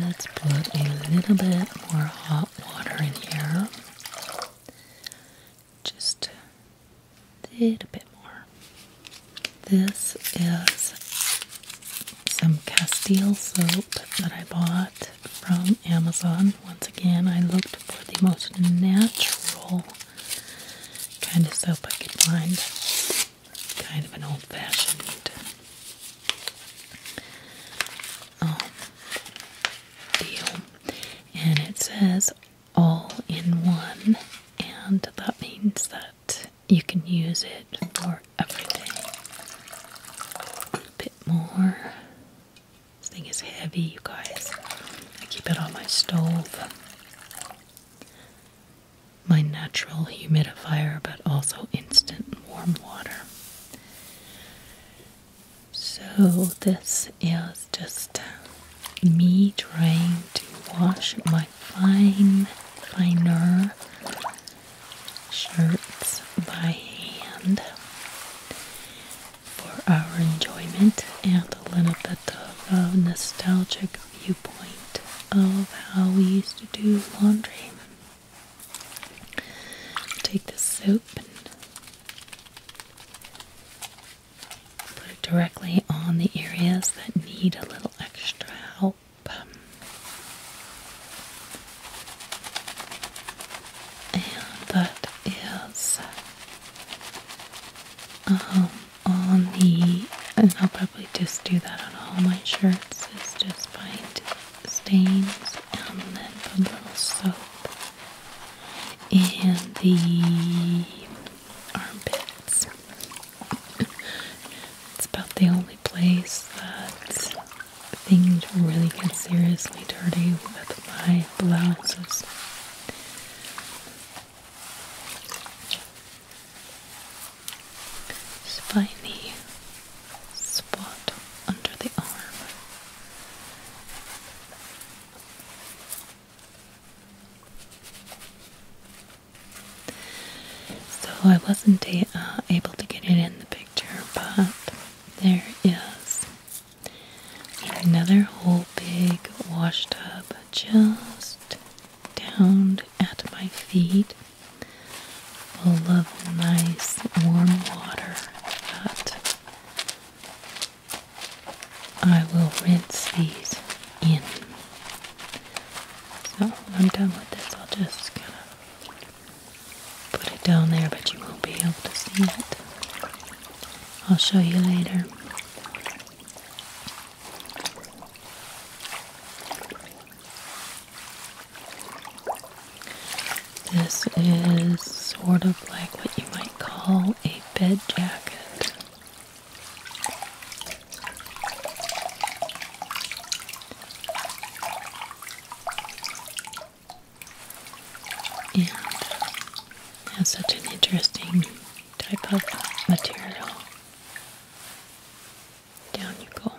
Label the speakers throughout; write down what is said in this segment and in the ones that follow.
Speaker 1: Let's put a little bit more hot water in here. Just a little bit more. This is some Castile soap that I bought from Amazon. Once again, I looked for the most natural kind of soap I could find. Kind of an old fashioned um, deal. And it says all in one, and that means that you can use it for Every day, A bit more. This thing is heavy, you guys. I keep it on my stove. My natural humidifier, but also instant warm water. So, this is just me trying to wash my fine, finer shirts by hand for our enjoyment and a little bit of a nostalgic viewpoint of how we used to do laundry. Take the soap and put it directly on the areas that need a little extra help. And that is um, on the, and I'll probably just do that on all my shirts, is just find stains and then put a little soap in the armpits. it's about the only place that Things to really get seriously dirty with my blouses. spiny spot under the arm. So I wasn't uh, able to get it in the picture, but there is another whole big washtub just down at my feet, A lovely, nice warm water that I will rinse these in. So when I'm done with this, I'll just kind of Put it down there, but you won't be able to see it. I'll show you later. This is sort of like what you might call a bed jacket and has such an interesting type of material. Down you go.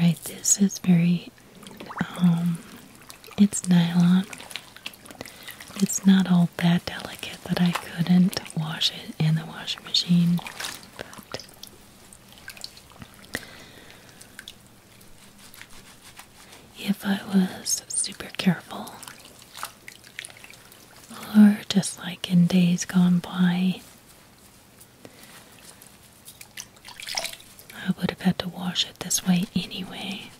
Speaker 1: Right, this is very, um, it's nylon. It's not all that delicate that I couldn't wash it in the washing machine, but if I was super careful, or just like in days gone by, I would have had to wash it this way anyway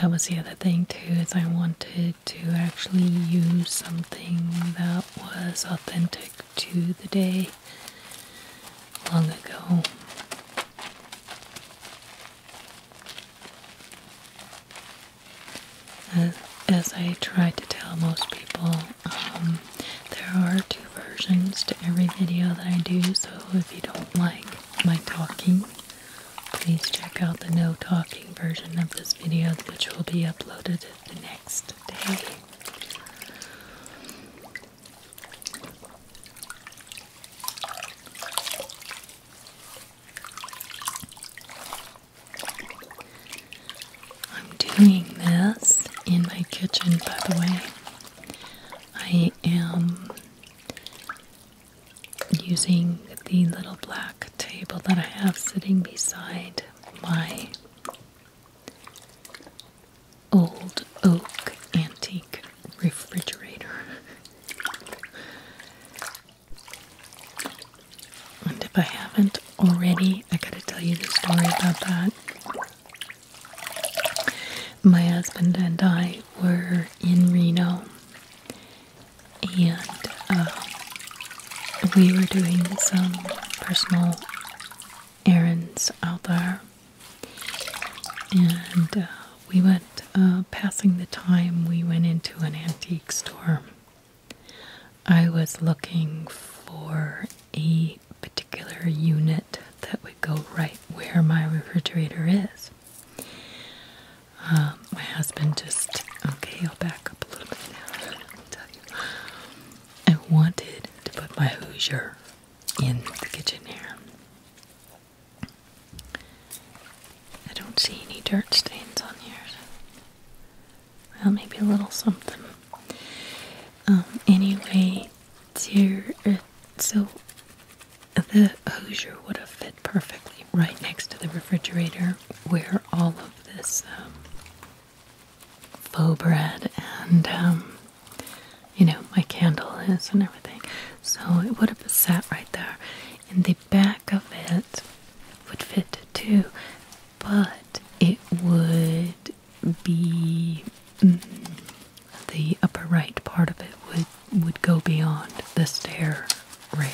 Speaker 1: that was the other thing too is I wanted to actually use something that was authentic to the day long ago. As, I try to tell most people, um, there are two versions to every video that I do, so if you don't like my talking, Please check out the no talking version of this video, which will be uploaded the next day. I'm doing this in my kitchen, by the way. I am using the little black table that I have sitting beside my old oak antique refrigerator. And if I haven't already, I gotta tell you the story about that. My husband and I were in Reno and uh, we were doing some personal errands out there, and uh, we went uh, passing the time. We went into an antique store. I was looking for a particular unit that would go right where my refrigerator is. Um, my husband just okay. I'll back up a little bit now. I'll tell you. I wanted to put my Hoosier in the kitchen here. I don't see any dirt stains on here. Well, maybe a little something. Um, anyway, dear, uh, so the hosier would have fit perfectly right next to the refrigerator where all of this um, faux bread and um, you know my candle is and everything so it would have sat right there and the back of it would fit too but it would be mm, the upper right part of it would would go beyond the stair rail.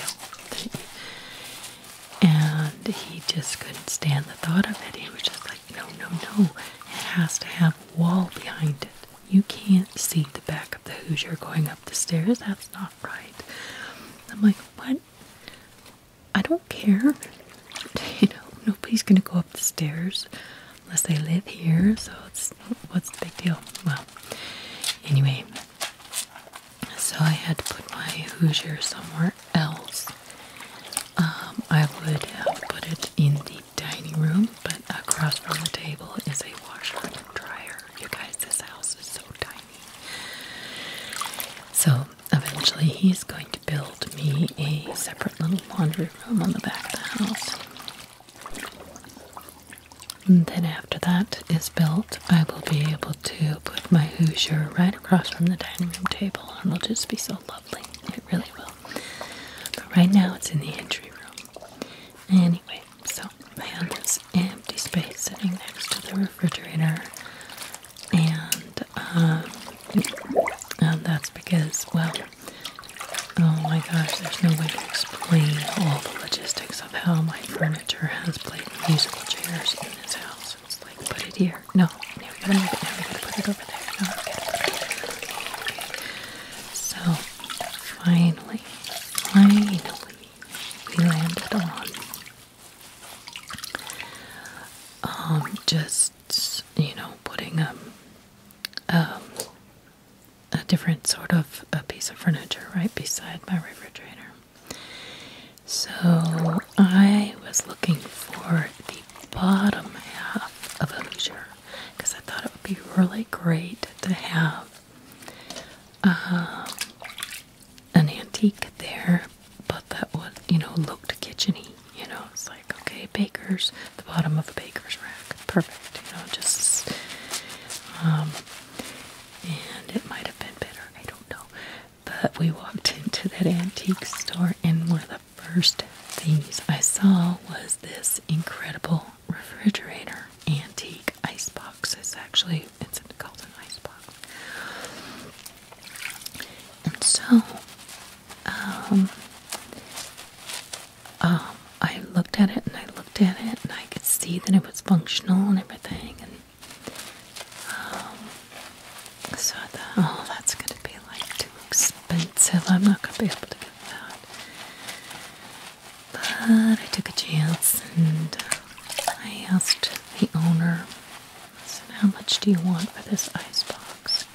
Speaker 1: and he just couldn't stand the thought of it. He was just like, no, no, no. It has to have a wall behind it. You can't see the back of the Hoosier going up the stairs. That's not right. I'm like, what? I don't care. You know, nobody's going to go up the stairs unless they live here. So it's what's the big deal? Well, anyway, so I had to put my Hoosier somewhere else. Um, I would have put it in the dining room, but across from the table is a washer and dryer. You guys, this house is so tiny. So eventually, he's going to build me a separate little laundry room on the back of the house. And then after that is built, I will be able to put my Hoosier right across from the dining room table and it'll just be so lovely. It really will. But right now it's in the entry room. Anyway, so I have this empty space sitting next to the refrigerator and um, and that's because, well, oh my gosh, there's no way to explain all the logistics how my furniture has played musical chairs in this house. It's like, put it here. No, now we gotta move it. Now we gotta put it over there. No, we gotta put it Okay. So, finally, finally, we landed on um, just, you know, putting a. Um, a different sort of a piece of furniture right beside my refrigerator. So I was looking for the bottom half of a leisure because I thought it would be really great to have um, an antique there, but that would you know looked kitcheny. You know, it's like okay, baker's the bottom of a baker's rack, perfect. You know, just um, and it might have been better, I don't know. But we walked into that antique store, and one of the first things I saw was this incredible refrigerator, antique icebox. It's actually it's called an icebox. And so, um, um, I looked at it and I looked at it and I could see that it was functional and everything. And um, so I thought, oh, that's going to be like too expensive. I'm not going to be able to get that. But I took a chance and uh, I asked the owner, I how much do you want for this ice box?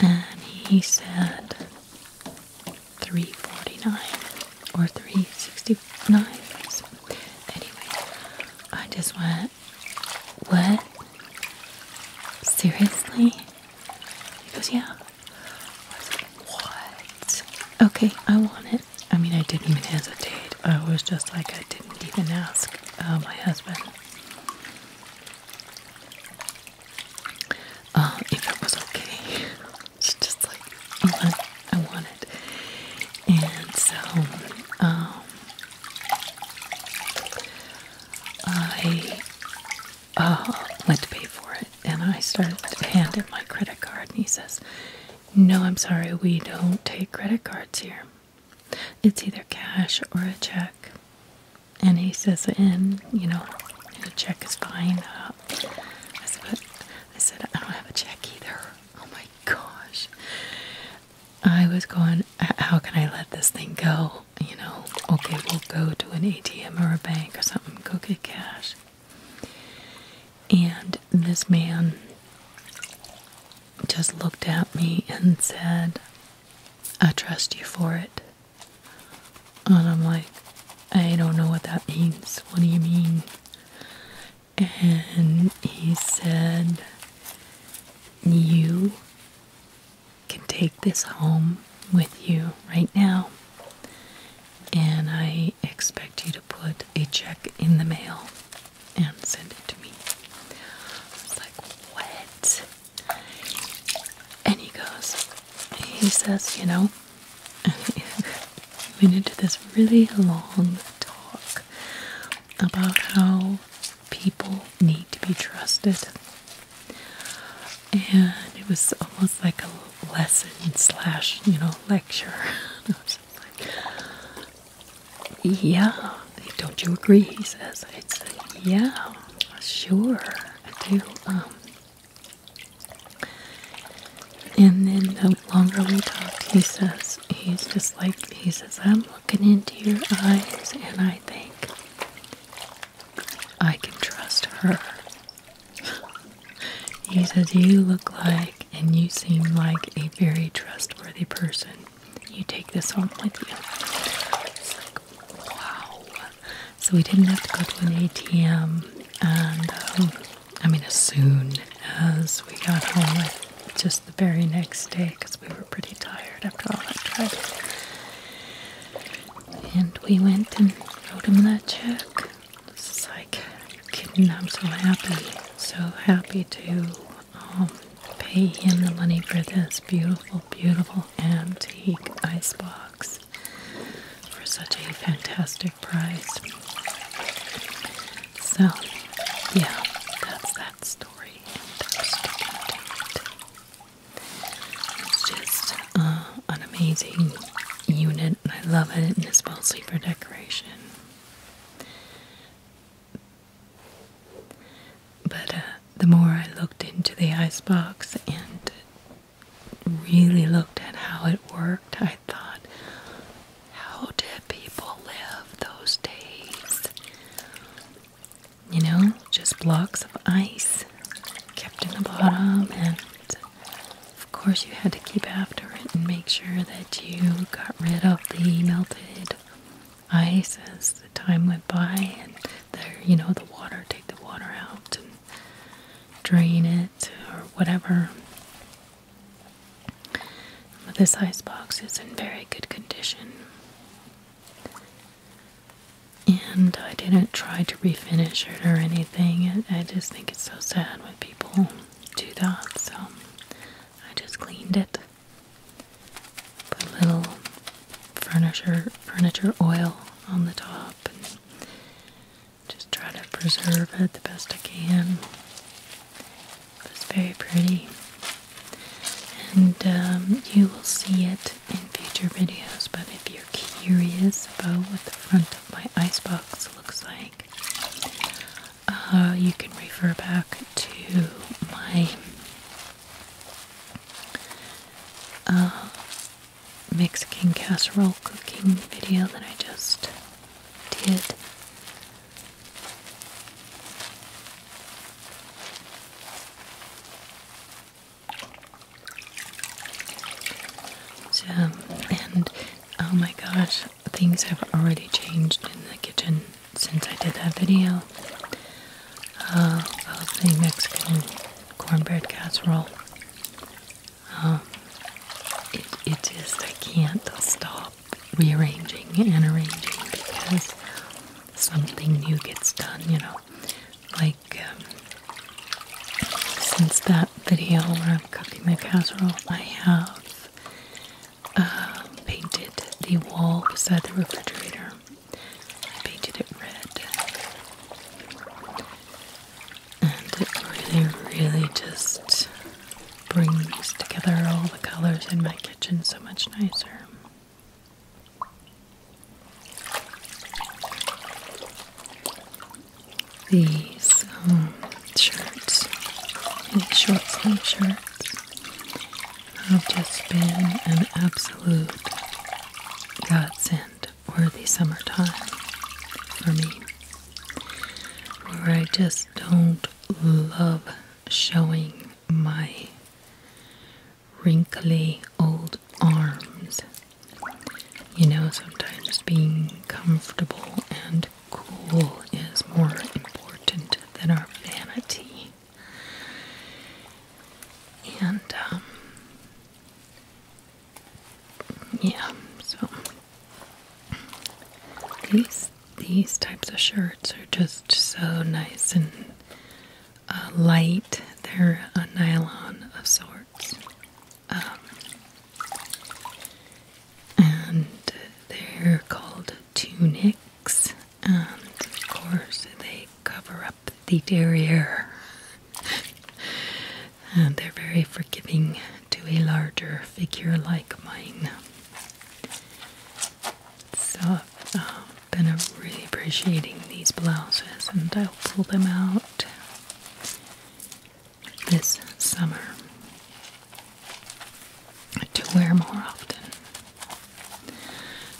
Speaker 1: And he said, 349 or 369. So I just went, what? Seriously? He goes, yeah. what? Okay, I want it. I mean, I didn't even hesitate. I was just like, I didn't even ask uh, my husband uh, if it was okay. She's just like, oh, I, want it. And so, um, I uh, went to pay for it and I started handing my credit card. And he says, No, I'm sorry, we don't take credit cards here. It's either cash or a check. And he says, And you know, a check is fine. Uh, I said, I said, I don't have a check either. Oh my gosh. I was going, how can I let this thing go? You know, okay, we'll go to an ATM or a bank or something, go get cash. And this man just looked at me and said, I trust you for it. And I'm like, I don't know what that means. What do you mean? And he said, You can take this home with you right now. And I expect you to put a check in the mail and send it to me. I was like, What? And he goes, He says, You know, we went into this really long talk about how people need to be trusted. And it was almost like a lesson slash, you know, lecture. yeah, don't you agree? He says, yeah, sure, I do. Um, and then the longer we talk, he says, he's just like, he says, I'm looking into your eyes and I think I can trust her. he says, You look like and you seem like a very trustworthy person. You take this home with you. It's like, wow so we didn't have to go to an ATM. And um, I mean, as soon as we got home, like just the very next day, because we were pretty tired after all that driving. And we went and wrote him that check. This is like, kidding, I'm so happy, so happy to um, pay him the money for this beautiful, beautiful antique ice box for such a fantastic price, So, yeah, that's that story. It's just uh, an amazing unit, and I love it, and it's mostly sleeper decoration. But uh, the more I looked into the icebox and really looked at how it worked, I thought, how did people live those days? You know, just blocks of ice kept in the bottom, and of course, you had to keep after it and make sure that you got rid of the melted ice as the time went by, and you know, the water, take the water out, and drain it or whatever. But this ice box is in very good condition. And I didn't try to refinish it or anything. I just think it's so sad when people do that. So I just cleaned it. Put a little furniture furniture oil on the top just try to preserve it the best I can. It was very pretty. And um, you will see it in future videos, but if you're curious about what the front of my icebox looks like, uh, you can refer back to my uh, Mexican casserole cooking video that I just did. So, and oh my gosh, things have already changed in the kitchen since I did that video I'll uh, the Mexican cornbread casserole it, just, I can't stop rearranging and arranging because something new gets done, you know. Like, um, since that video where I'm cooking the casserole, I have uh, painted the wall beside the refrigerator. painted it red and it really, really just brings together all the colors in my kitchen so much nicer. These um, shirts, these short sleeve shirts, have just been an absolute godsend or summertime for me, where I just don't love showing my wrinkly old arms. You know, sometimes being comfortable and cool is more important than our vanity. And um, yeah, so these these types of shirts are just so nice and uh, light. They're a nylon of sorts, um, and they're called tunics. And of course, they cover up the derriere. and they're very forgiving to a larger figure like mine. So I've uh, been really appreciating these blouses, and I'll pull them out this summer to wear more often.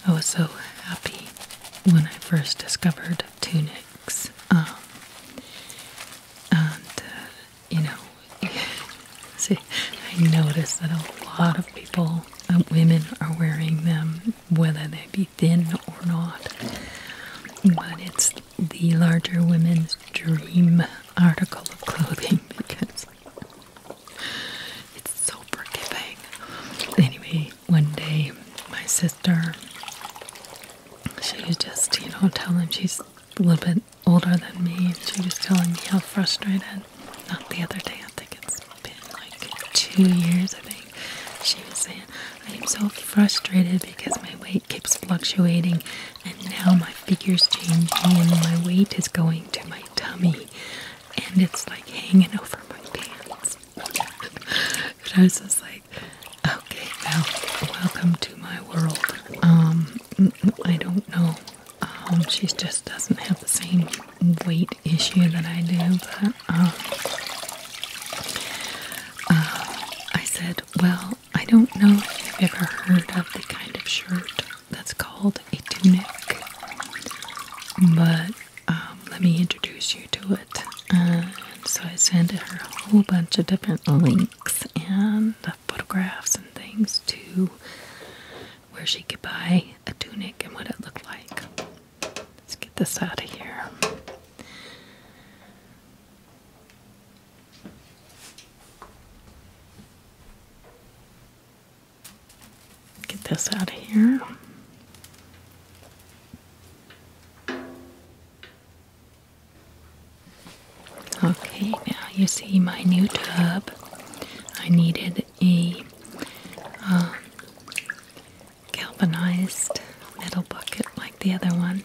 Speaker 1: I was so happy when I first discovered tunics. Um, and, uh, you know, see, I notice that a lot of people, uh, women, are wearing them, whether they be thin or not. But it's the larger women's dream article of clothing because it's so forgiving. Anyway, one day my sister she was just, you know, telling she's a little bit older than me. she was telling me how frustrated. Not the other day, I think it's been like two years, I think. She was saying, I am so frustrated because my weight keeps fluctuating and now my figure's changing and my weight is going to my tummy and it's like hanging over my pants. and I was just like, Okay, Val. welcome to my world. Um, I don't know. Um, she just doesn't have the same weight issue that I do, but, um, uh, I said, well, I don't know if you've ever heard of the kind of shirt that's called a tunic, but, um, let me introduce you you do it. Uh, so I sent her a whole bunch of different links and photographs and things to where she could buy a tunic and what it looked like. Let's get this out of here. Get this out of here. Okay, now you see my new tub. I needed a um, galvanized metal bucket like the other one.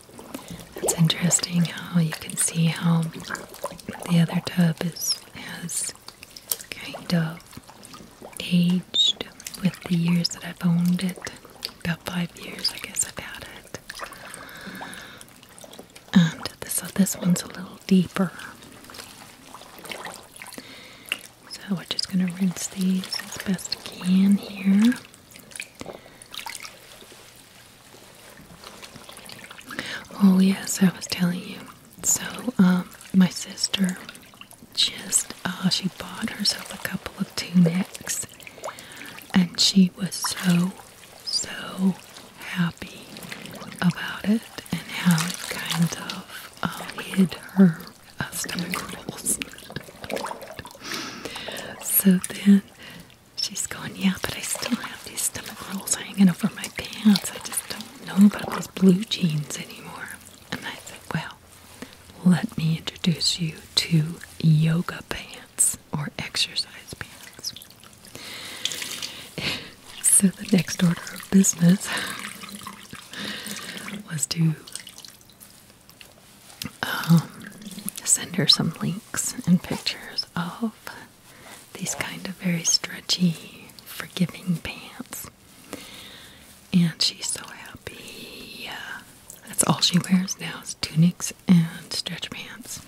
Speaker 1: It's interesting how you can see how the other tub is has kind of aged with the years that I've owned it about five years, I guess, I've had it. And this, this one's a little deeper. So we're just going to rinse these as best we can here. Oh, yes, I was telling you. So, um, my sister just, uh, she bought herself a couple of tunics and she was so, so happy about it and how it kind of uh, hid her uh, stomach rolls. so then she's going, Yeah, but I still have these stomach rolls hanging over my pants. I just don't know about those blue jeans anymore. And I said, Well, let me introduce you to yoga pants or exercise pants. so, the next order of business was to um, send her some links and pictures of these kind of very stretchy, forgiving pants and she's so happy. that's all she wears now is tunics and stretch pants.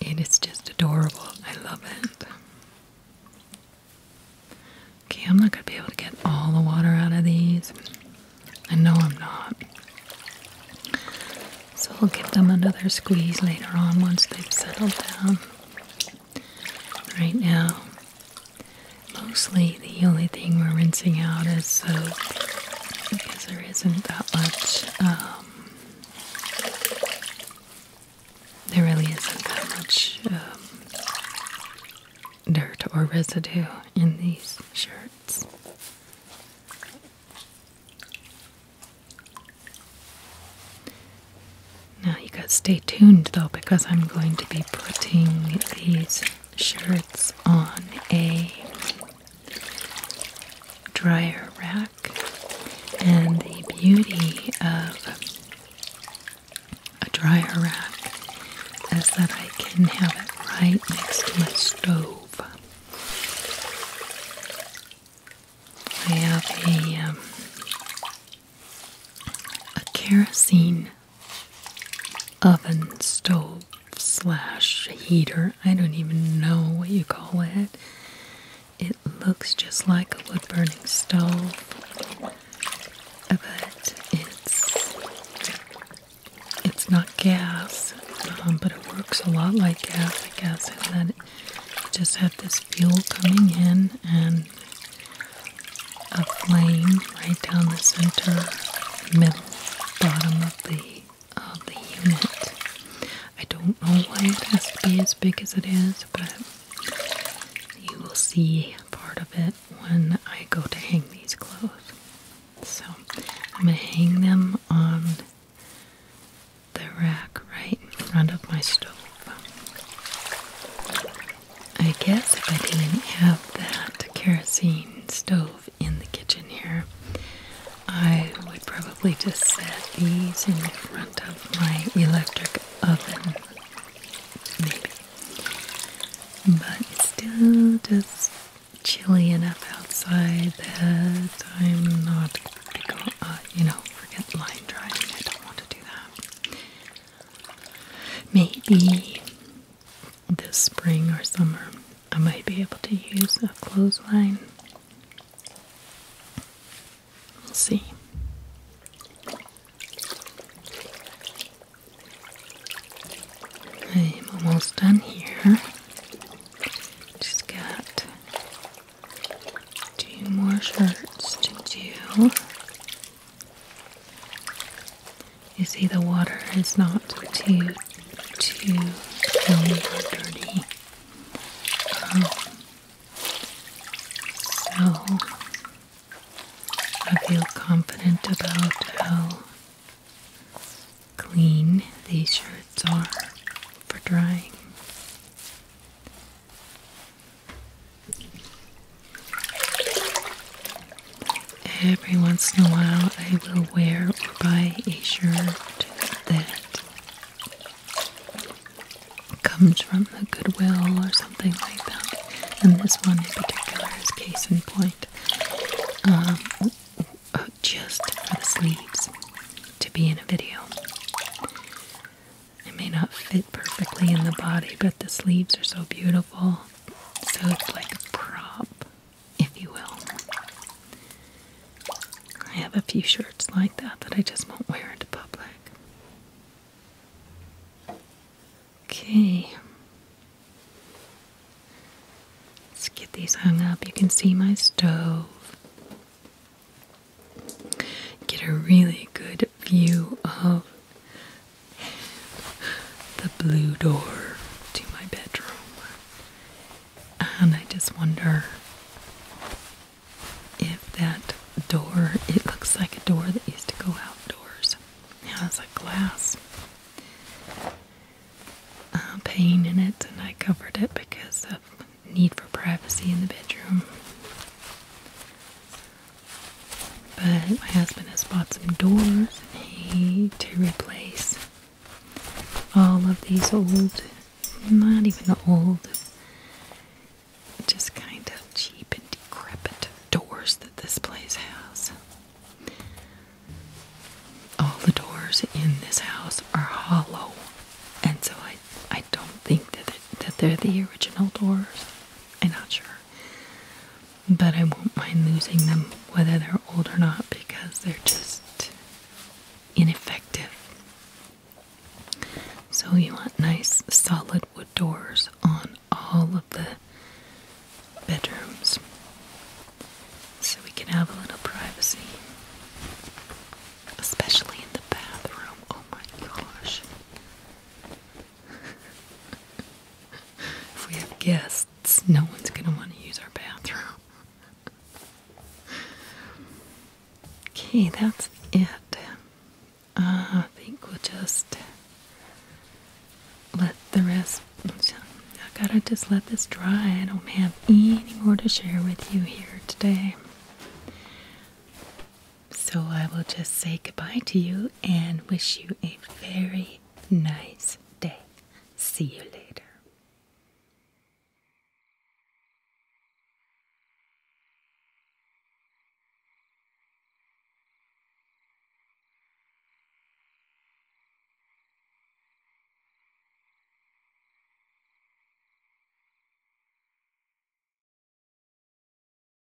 Speaker 1: It is just adorable. I love it. Okay, I'm not going to be able to get all the water out of these. I know I'm not. So i will give them another squeeze later on once they've settled down. Right now, Mostly the only thing we're rinsing out is soap because there isn't that much, um, there really isn't that much um, dirt or residue in these shirts. Now you gotta stay tuned though because I'm going to be putting these shirts on a dryer rack and the beauty of a dryer rack is that I can have it right next to my stove. I have a um, a kerosene oven stove slash heater. I don't even know what you call it. It looks just like a wood burning stove, but it's it's not gas, um, but it works a lot like gas, I guess. And then it just had this fuel coming in and a flame right down the center, middle, bottom of the of the unit. I don't know why it has to be as big as it is, but you will see part of it when I go to hang these clothes. So I'm gonna hang them on the rack right in front of my stove. I guess if I didn't have that kerosene stove in the kitchen here, I would probably just set these in front of my electric oven. Maybe. But it's still just chilly enough outside that I'm not going to uh, you know, forget line drying. I don't want to do that. Maybe this spring or summer I might be able to use a clothesline. We'll see. I'm almost done here. Just got two more shirts to do. You see, the water is not too, too filmy or dirty. Oh. so I feel confident about how clean these shirts are for drying. Every once in a while, I will wear or buy a shirt that comes from the Goodwill or something like that. And this one in particular is case in point. Um, just for the sleeves to be in a video. It may not fit perfectly in the body, but the sleeves are so beautiful. So it's like a prop, if you will. I have a few shirts like that that I just won't wear into public. Okay. Let's get these hung up. You can see my stove. Get a really good view of the blue door to my bedroom. And I just wonder if that door, it looks like a door that used to go outdoors. Now it's a glass uh, pane in it, and I covered it because of need for privacy in the bedroom. But my husband has bought some doors he, to replace all of these old, not even old, just kind of cheap and decrepit doors that this place has. All the doors in this house are hollow, and so I, I don't think that, that they're the original doors. I'm not sure. But I won't mind losing them whether they're old or not because they're just ineffective. So you want nice solid wood doors on all of the bedrooms so we can have a little privacy. Especially in the bathroom. Oh my gosh. if we have guests, no one's going to want to use our bathroom. Okay, that's it. Uh, I think we'll just let the rest. I gotta just let this dry. I don't have any more to share with you here today. So I will just say goodbye to you and wish you a very nice day. See you later.